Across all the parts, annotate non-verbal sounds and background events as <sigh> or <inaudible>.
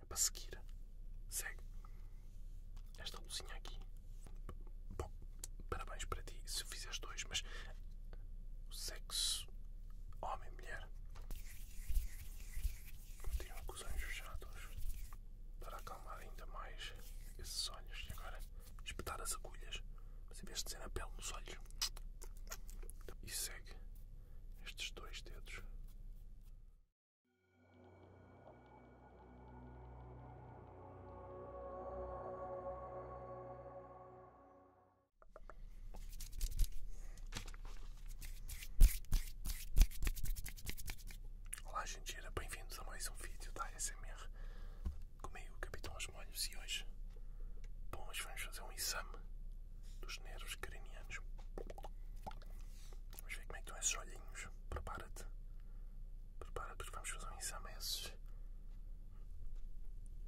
É para seguir. Segue. Esta luzinha aqui. Bom, parabéns para ti se fizeres dois, mas o sexo homem mulher. tenho com os olhos fechados para acalmar ainda mais esses olhos. E agora espetar as agulhas, mas em vez de ser na pele, nos olhos. E segue estes dois dedos. Olá gente, sejam bem-vindos a mais um vídeo da ASMR comigo, Capitão os molhos e hoje vamos fazer um exame dos nervos cranianos. Vamos ver como é que estão esses olhinhos. Prepara-te. Prepara-te porque vamos fazer um exame esses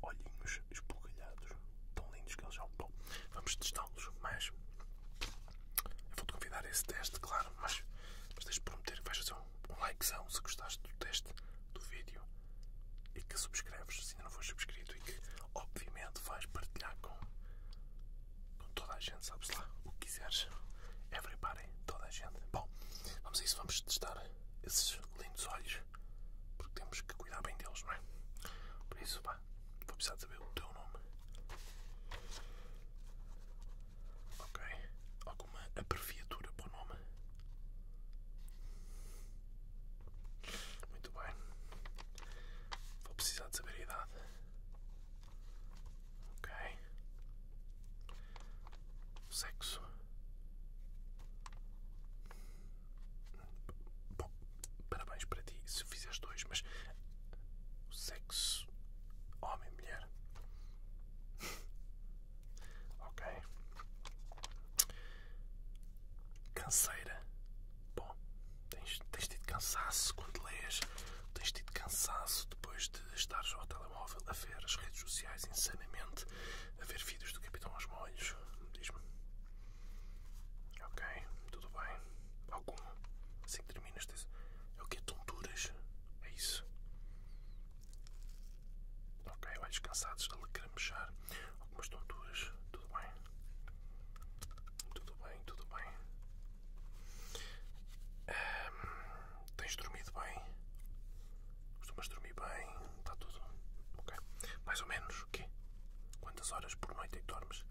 olhinhos esbugalhados. Tão lindos que eles são. estão. Vamos testá-los, mas eu vou-te convidar a esse teste, claro, mas, deixa de prometer que vais fazer um, like se gostaste do teste do vídeo e que subscreves se ainda não fores subscrito e que obviamente vais partilhar com toda a gente, sabes lá, o que quiseres. Everybody, toda a gente. Bom, vamos a isso, vamos testar esses lindos olhos, porque temos que cuidar bem deles, não é? Por isso, pá, vou precisar de saber o teu nome. Ok, alguma abreviatura para o nome? Muito bem. Vou precisar de saber a idade. Ok. Sexo. Bom, parabéns para ti se fizeres dois, mas sexo homem mulher. ok. Canseira. Bom, tens, tens tido cansaço quando lês, tens tido cansaço depois de estares ao telemóvel a ver as redes sociais insanamente, a ver vídeos do Capitão aos Molhos. Diz-me. Ok, tudo bem. Algum? Assim que terminas, tens... é o que? Tonturas? É isso? Ok, olhos cansados de lacrimejar. Algumas tonturas, tudo bem. Tudo bem, tudo bem. tens dormido bem? Costumas dormir bem? Está tudo? Ok. Mais ou menos o quê? Quantas horas por noite é que dormes?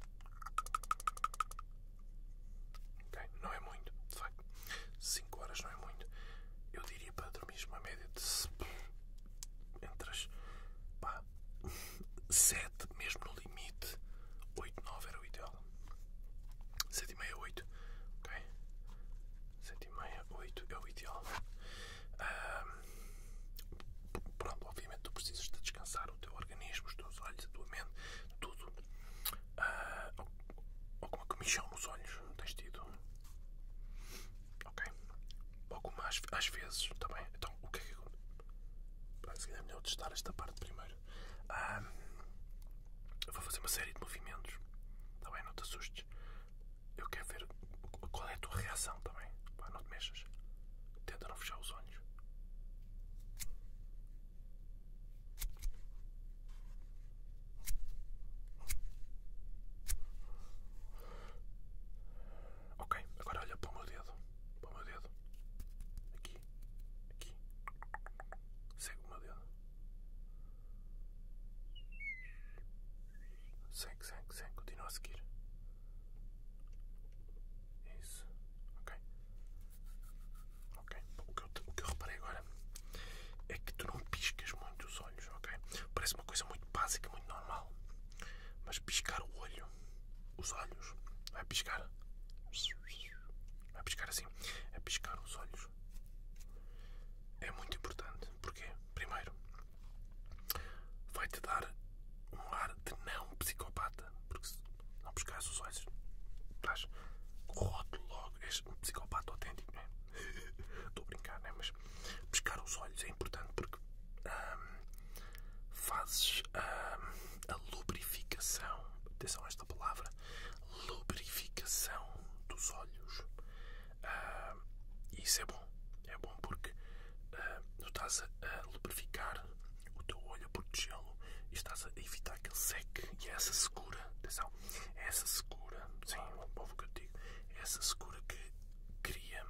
Ok, não é muito, de facto. 5 horas não é muito. Eu diria para dormir uma média de entre as pá, 7, mesmo no limite. 8, 9 era o ideal. 7 e meia, 8. Ok? 7 e meia, 8 é o ideal. pronto, obviamente tu precisas de descansar o teu organismo, os teus olhos, a tua mente, tudo. Uh, ah, alguma comichão nos olhos tens tido? Ok? Alguma às, vezes, também. Tá então, o que é que se calhar é melhor testar esta parte primeiro. eu vou fazer uma série de movimentos. Está Não te assustes. Eu quero ver qual é a tua reação também. Tá não te mexas. Tenta não fechar os olhos. Ok, agora olha para o meu dedo. Para o meu dedo. Aqui. Aqui. Segue o meu dedo. Segue, segue, segue. Continua a seguir. Isso. Ok. Ok. O que, eu, reparei agora é que tu não piscas muito os olhos, ok? Parece uma coisa muito básica, muito normal. Mas piscar o olho os olhos. Vai piscar. Vai piscar assim. vai é piscar os olhos. É muito importante. porque Primeiro, vai-te dar um ar de não psicopata. Porque se não piscares os olhos, estás roto logo. é um psicopata autêntico, não é? <laughs> Estou a brincar, não é? Mas piscar os olhos é importante porque. Ah, fazes ah, a, lubrificação, atenção esta palavra, lubrificação dos olhos. Ah, e isso é bom, é bom porque ah, tu estás a, lubrificar o teu olho, a protegê-lo e estás a evitar que ele seque. E é essa segura, atenção, é essa segura, sim, é o que eu digo, é essa segura que cria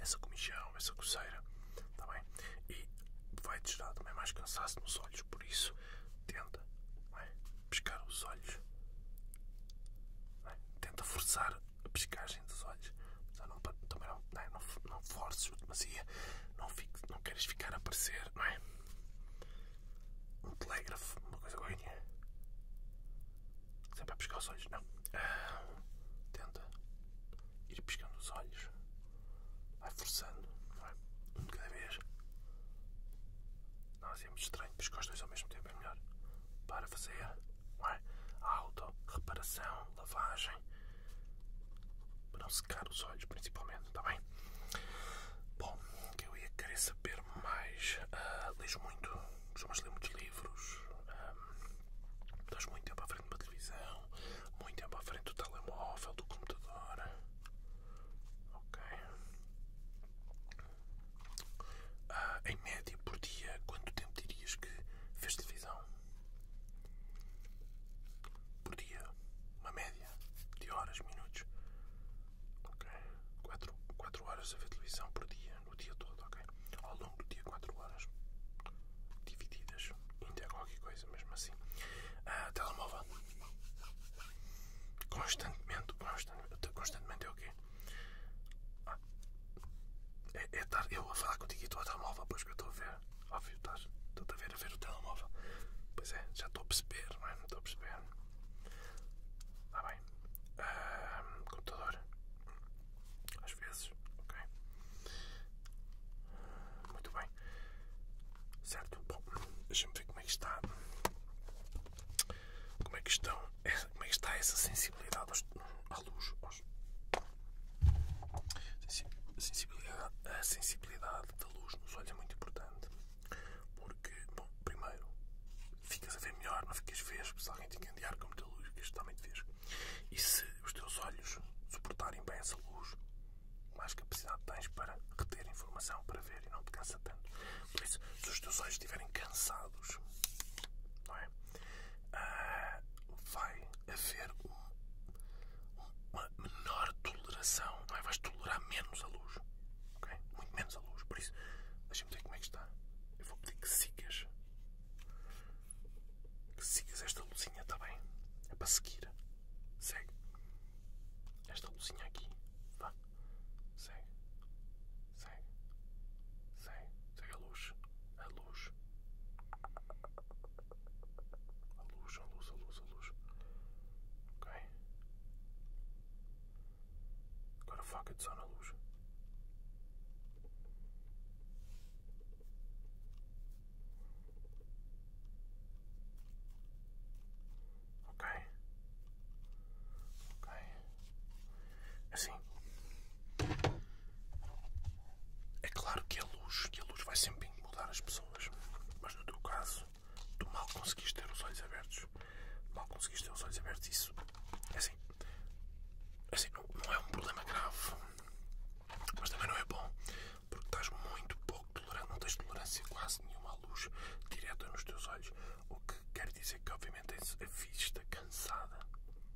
essa comichão não, essa coceira, está E vai-te dar também mais cansaço nos olhos, por isso tenta é, pescar os olhos, é? tenta forçar a pescagem dos olhos, não, também não, não, é, não, não demasia, não, fique, não queres ficar a aparecer, Um telégrafo, uma coisa ganha. Sempre a pescar os olhos, não. Ah, tenta ir piscando os olhos, vai forçando, não é? Um de cada vez. Nós é muito estranho, piscar os dois ao mesmo tempo é melhor. Para fazer, não é? Auto, reparação, lavagem. Para não secar os olhos, principalmente, está bem? Bom, que eu ia querer saber mais. Uh, ah, leio muito, costumas ler muitos livros. Um, ah, estás muito para à frente televisão, muito tempo à frente do telemóvel, do computador. Ok. Ah, em média por dia, quanto tempo dirias que fez televisão? Por dia, uma média de horas, minutos. Ok. 4 horas a ver televisão por dia no dia todo, ok? Ao longo do dia, 4 horas divididas, ainda é qualquer coisa, mesmo assim. Ah, telemóvel. Constantemente, constantemente, constantemente é o quê? Ah, é, é estar eu vou falar contigo e tu ao telemóvel, pois que eu estou a ver. Óbvio, estás, estou a ver a ver o telemóvel. Pois é, já estou a perceber, não é? Não estou a perceber. Ah, bem. Ah, computador. Às vezes, ok? Muito bem. Certo? Bom, deixa-me ver como é que está. Como é que estão. Como é que está essa sensibilidade à luz? a sensibilidade, a sensibilidade da luz nos olhos é muito importante. Porque, bom, primeiro, ficas a ver melhor, não ficas vesgo. Se alguém te encandear com muita luz, ficas totalmente vesgo. E se os teus olhos suportarem bem essa luz, mais capacidade tens para reter informação, para ver e não te cansa tanto. Por isso, se os teus olhos estiverem cansados, é? ah, vai haver um, uma menor toleração, não é? Vais tolerar menos a luz, Muito menos a luz. Por isso, deixa-me ver como é que está. Eu vou pedir que sigas que sigas esta luzinha, está bem? É para seguir. Segue. Esta luzinha aqui. Vá. Segue. Segue. Segue. a luz. A luz. A luz, a luz, a luz, a luz. Ok? Agora foca de só na luz. Ok. Ok. É assim. É claro que a luz, que a luz vai sempre mudar as pessoas, mas no teu caso, tu mal conseguiste ter os olhos abertos. Mal conseguiste ter os olhos abertos, isso é assim, é assim não, é um problema grave, mas também não é bom, porque estás muito pouco tolerante, não tens tolerância quase nenhuma à luz direta nos teus olhos, o que quer dizer que obviamente tens a vista cansada,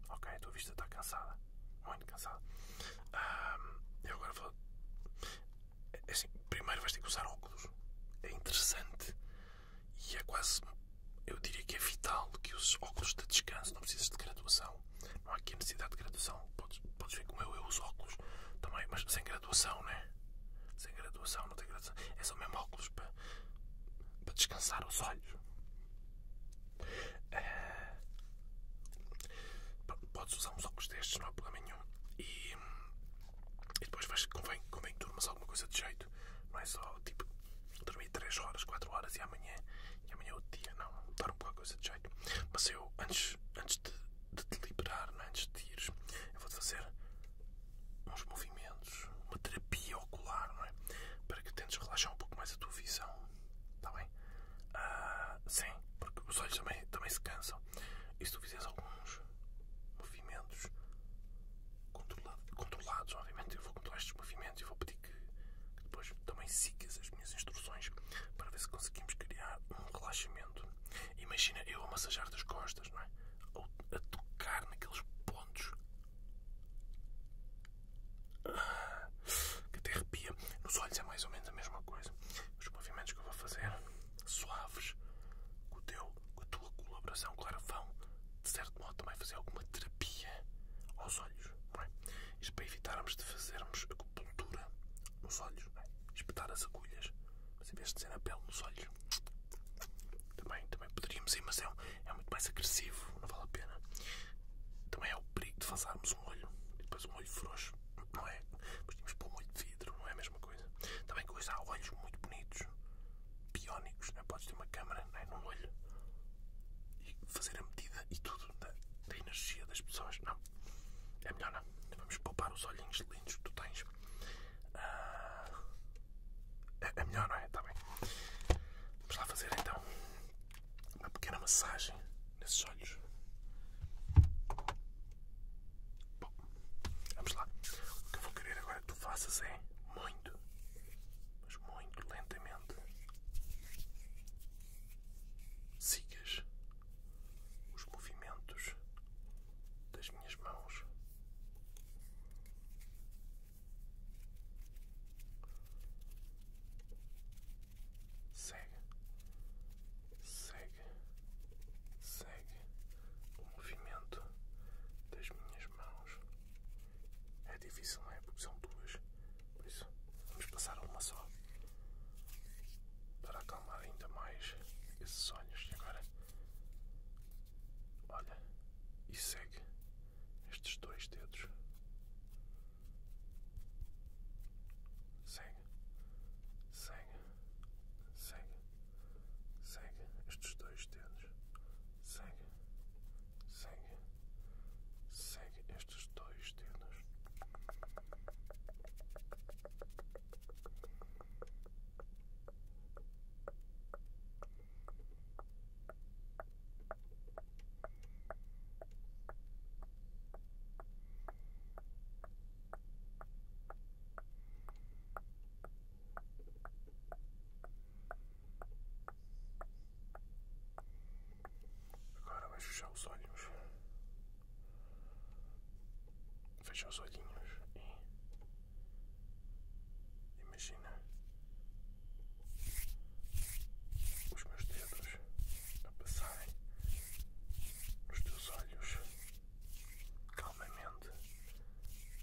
ok? A tua vista está cansada, muito cansada. eu agora vou, é assim, primeiro vais ter que usar óculos, é interessante e é quase eu diria que é vital que os óculos de descanso, não precisas de graduação, não há aqui a necessidade de graduação, podes, podes ver como eu, uso óculos também, mas sem graduação, né? Sem graduação, não tem graduação, é só mesmo óculos para, para descansar os olhos. É, podes usar uns óculos destes, não há problema nenhum. E, e depois vais, convém, convém que durmas alguma coisa de jeito, mais é só tipo dormi 3 horas, 4 horas e amanhã, amanhã é outro dia, não, dorme qualquer coisa de jeito. Mas eu, antes, antes de, te liberar, né, antes de ires, eu vou-te fazer uns movimentos, uma terapia ocular, não é? Para que tentes relaxar um pouco mais a tua visão, está bem? Ah, sim, porque os olhos também, também se cansam. E se tu fizeres alguns movimentos controlados, obviamente, eu vou controlar estes movimentos e vou pedir que, depois também sigas as minhas instruções para ver se conseguimos criar um relaxamento. Imagina eu a massajar das costas, não é? Ou a tocar naqueles pontos que até arrepia. Nos olhos é mais ou menos a mesma coisa. Os movimentos que eu vou fazer, suaves, com, teu, com a tua colaboração, claro, vão de certo modo, também fazer alguma terapia aos olhos, não é? Isto para evitarmos de fazermos acupuntura nos olhos, é? espetar as agulhas, mas em vez de ser a pele nos olhos, também, também poderíamos ir, mas é, é, muito mais agressivo, não vale a pena. Também é o perigo de fazermos um olho e depois um olho frouxo, não é? Mas tínhamos um olho de vidro, não é a mesma coisa. Também que há olhos muito bonitos, biónicos, né? podes ter uma câmara né? num olho e fazer a medida e tudo da, energia das pessoas. Não, é melhor não. Vamos poupar os olhinhos lindos que tu tens. Ah, é, é melhor, não é? Está bem. Vamos lá fazer então uma pequena massagem nesses olhos. Bom, vamos lá. O que eu vou querer agora que tu faças é muito, muito lentamente sigas os movimentos das minhas mãos. Segue, segue, segue o movimento das minhas mãos. É difícil, não é? Porque são duas. Por isso, vamos passar uma só. Para acalmar ainda mais esses sonhos. E agora, olha, e segue estes dois dedos. Segue, segue, segue, segue estes dois dedos. Segue, segue, segue estes dois dedos. Agora vais fechar os olhos. Fecha os olhinhos e imagina os meus dedos a passarem nos teus olhos calmamente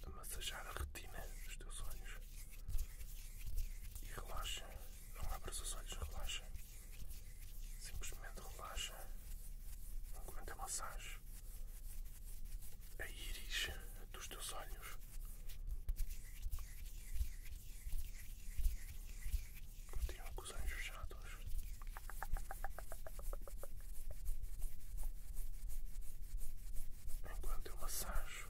a massajar a retina dos teus olhos e relaxa. Não abras os olhos, relaxa. Simplesmente relaxa enquanto a massagem a íris dos teus olhos. Continuam com os olhos fechados. Enquanto eu massajo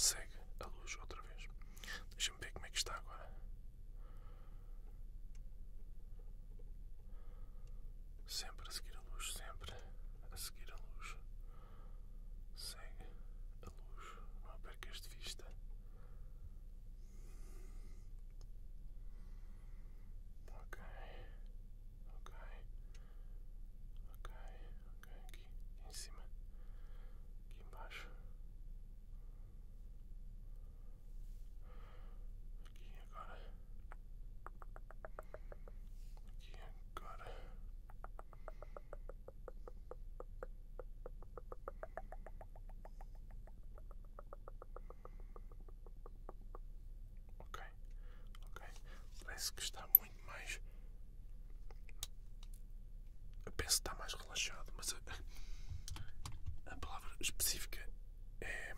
Segue a luz outra vez. Deixa-me ver como é que está agora. Sempre a seguir a luz, sempre a seguir a luz. Segue a luz, não percas de vista. Ok, ok, ok, ok. Aqui em cima, aqui embaixo. Aqui agora. Aqui agora. Ok, ok. Parece que está muito mais. Eu penso que está mais relaxado, mas a palavra específica é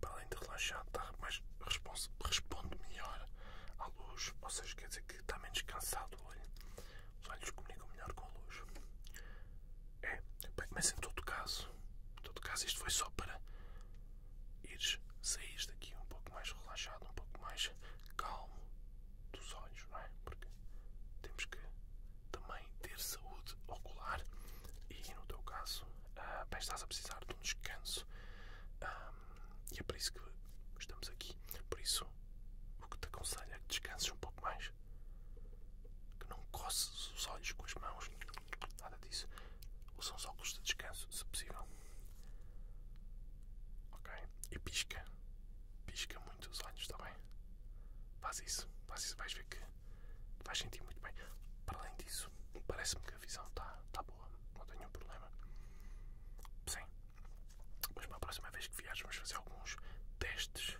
para além de relaxado, está mais responde, melhor à luz, ou seja, quer dizer que está menos cansado o olho. Os olhos comunicam melhor com a luz. É, mas em todo caso, em todo caso isto foi só para ires, sair daqui um pouco mais relaxado, um pouco mais calmo dos olhos, não é? Porque temos que também ter saúde ocular e no teu caso uh, bem estás a precisar de um descanso ah, e é por isso que estamos aqui. Por isso o que te aconselho é que descanses um pouco mais, que não coces os olhos com as mãos, nada disso. usa os óculos de descanso, se possível. Ok? E pisca. Pisca muito os olhos, está bem? Faz isso, faz isso, vais ver que faz sentir muito bem. Para além disso, parece-me que a visão está tá boa, não tenho um problema. Sim, mas para a próxima vez que viares, vamos fazer alguns testes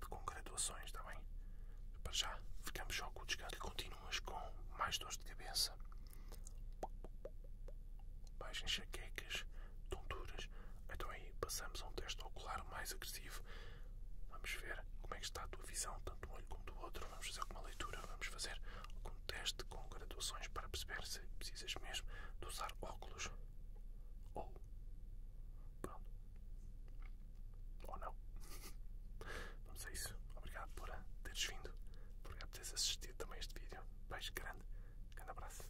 de congratulações, está bem? Para já, ficamos só com o e Continuas com mais dores de cabeça, mais enxaquecas, tonturas. Então aí passamos a um teste ocular mais agressivo. Vamos ver como é que está a tua visão, tanto de um olho como do outro. Vamos fazer alguma leitura, vamos fazer algum teste com graduações para perceber se precisas mesmo de usar óculos ou. não. <laughs> Vamos a isso. Obrigado por teres vindo. Obrigado por teres assistido também este vídeo. Beijo grande. Grande abraço.